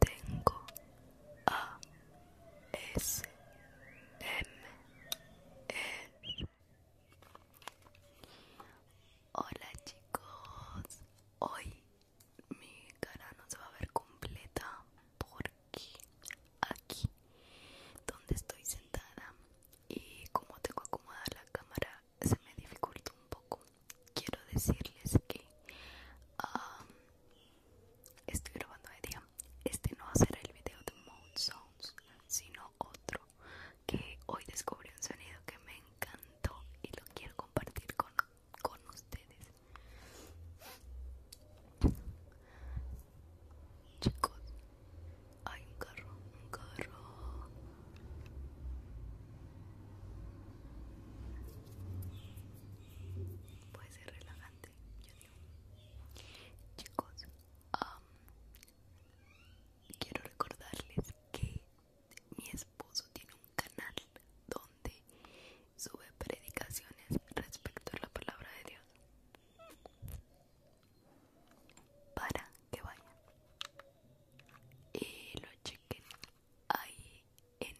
Tengo A S M E Hola chicos, hoy mi cara no se va a ver completa porque aquí donde estoy sentada y como tengo acomodada la cámara se me dificulta un poco quiero decirles que um, estoy grabando hoy día. Este no va a ser el video de Mode Sounds, sino otro que hoy descubrí un sonido que me encantó y lo quiero compartir con, con ustedes. Chicos, hay un carro, un carro. Puede ser relajante, digo. Chicos, quiero recordarles que mi esposo tiene un canal donde sube predicaciones respecto a la palabra de Dios. Para que vayan. Y lo chequen ahí en,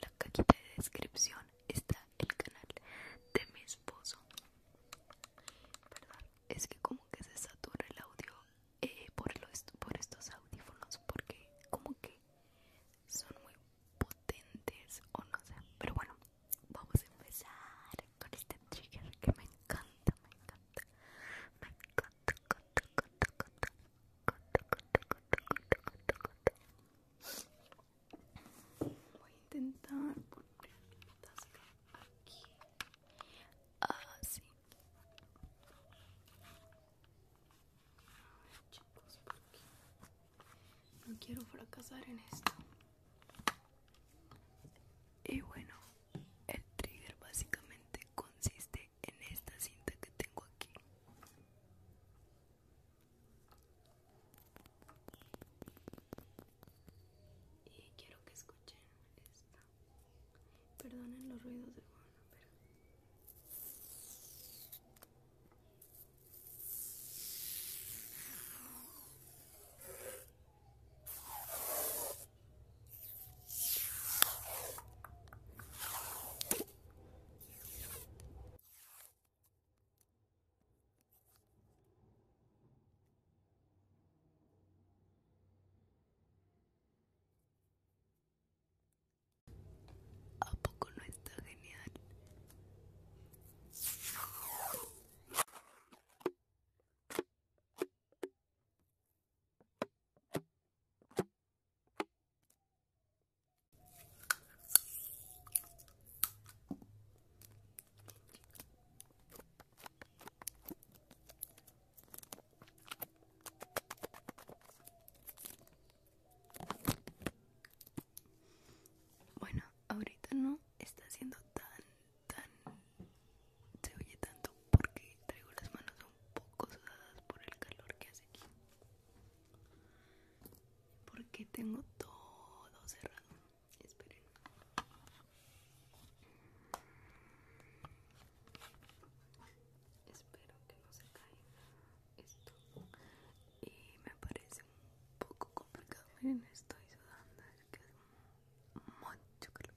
la cajita de descripción está el canal de mi esposo perdón es que como que se satura el audio eh, por, por estos audífonos porque como que son muy potentes o no sé pero bueno vamos a empezar con este trigger que me encanta me encanta me encanta encanta encanta encanta Voy a intentar poner aquí. Así. Ah, chicos, no quiero fracasar en esto. Y bueno, el trigger básicamente consiste en esta cinta que tengo aquí y quiero que escuchen esta perdonen los ruidos de fondo pero ¿A poco no está genial? Bueno, ahorita no está haciendo tan, tan... Se oye tanto porque traigo las manos un poco sudadas por el calor que hace aquí. Porque tengo todo cerrado. Esperen. Espero que no se caiga esto. Y me parece un poco complicado. Miren, estoy sudando. Es que es mucho calor.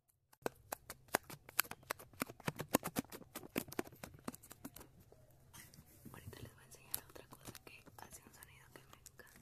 Ahorita les voy a enseñar otra cosa que hace un sonido que me encanta.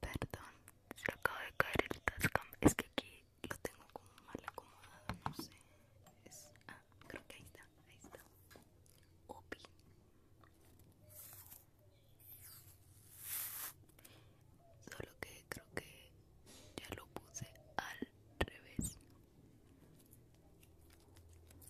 Perdón, se acaba de caer el tascam. Es que aquí lo tengo como mal acomodado, no sé. ah, creo que ahí está, ahí está. Solo que creo que ya lo puse al revés.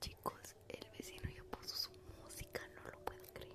Chicos, el vecino ya puso su música, no lo puedo creer.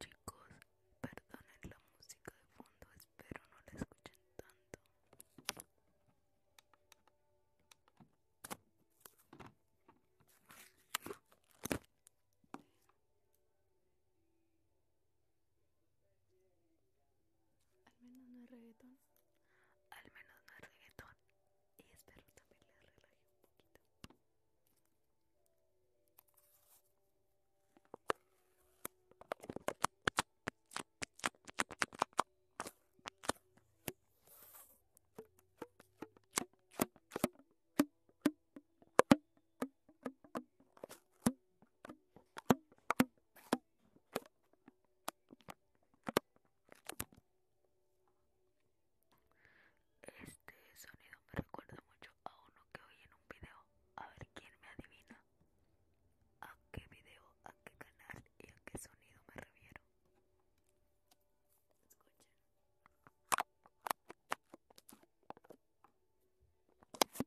Chicos, perdonen la música de fondo, espero no la escuchen tanto. Al menos no es reggaetón. Al menos no es reggaetón y espero también les relaje un poquito este sonido me recuerda mucho a uno que oí en un video. A ver quién me adivina. ¿A qué video, a qué canal y a qué sonido me refiero? Escuchen.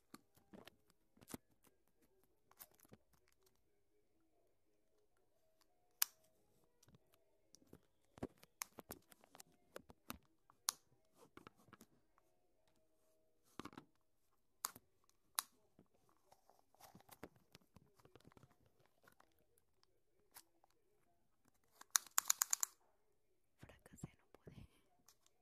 Fracasé, no puede.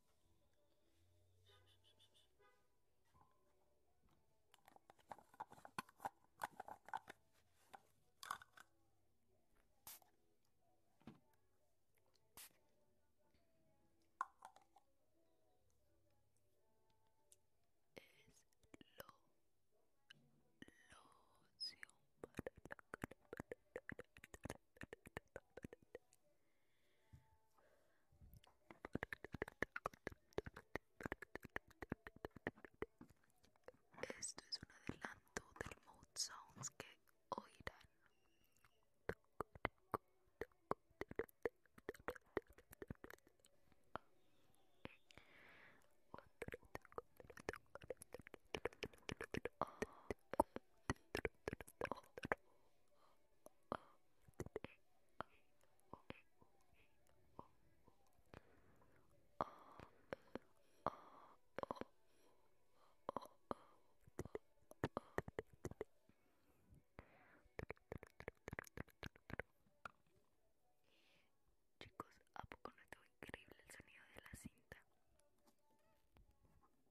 Es lo para la esto es un adelanto del mood sounds que oirán. Chicos, ¿a poco no estuvo increíble el sonido de la cinta?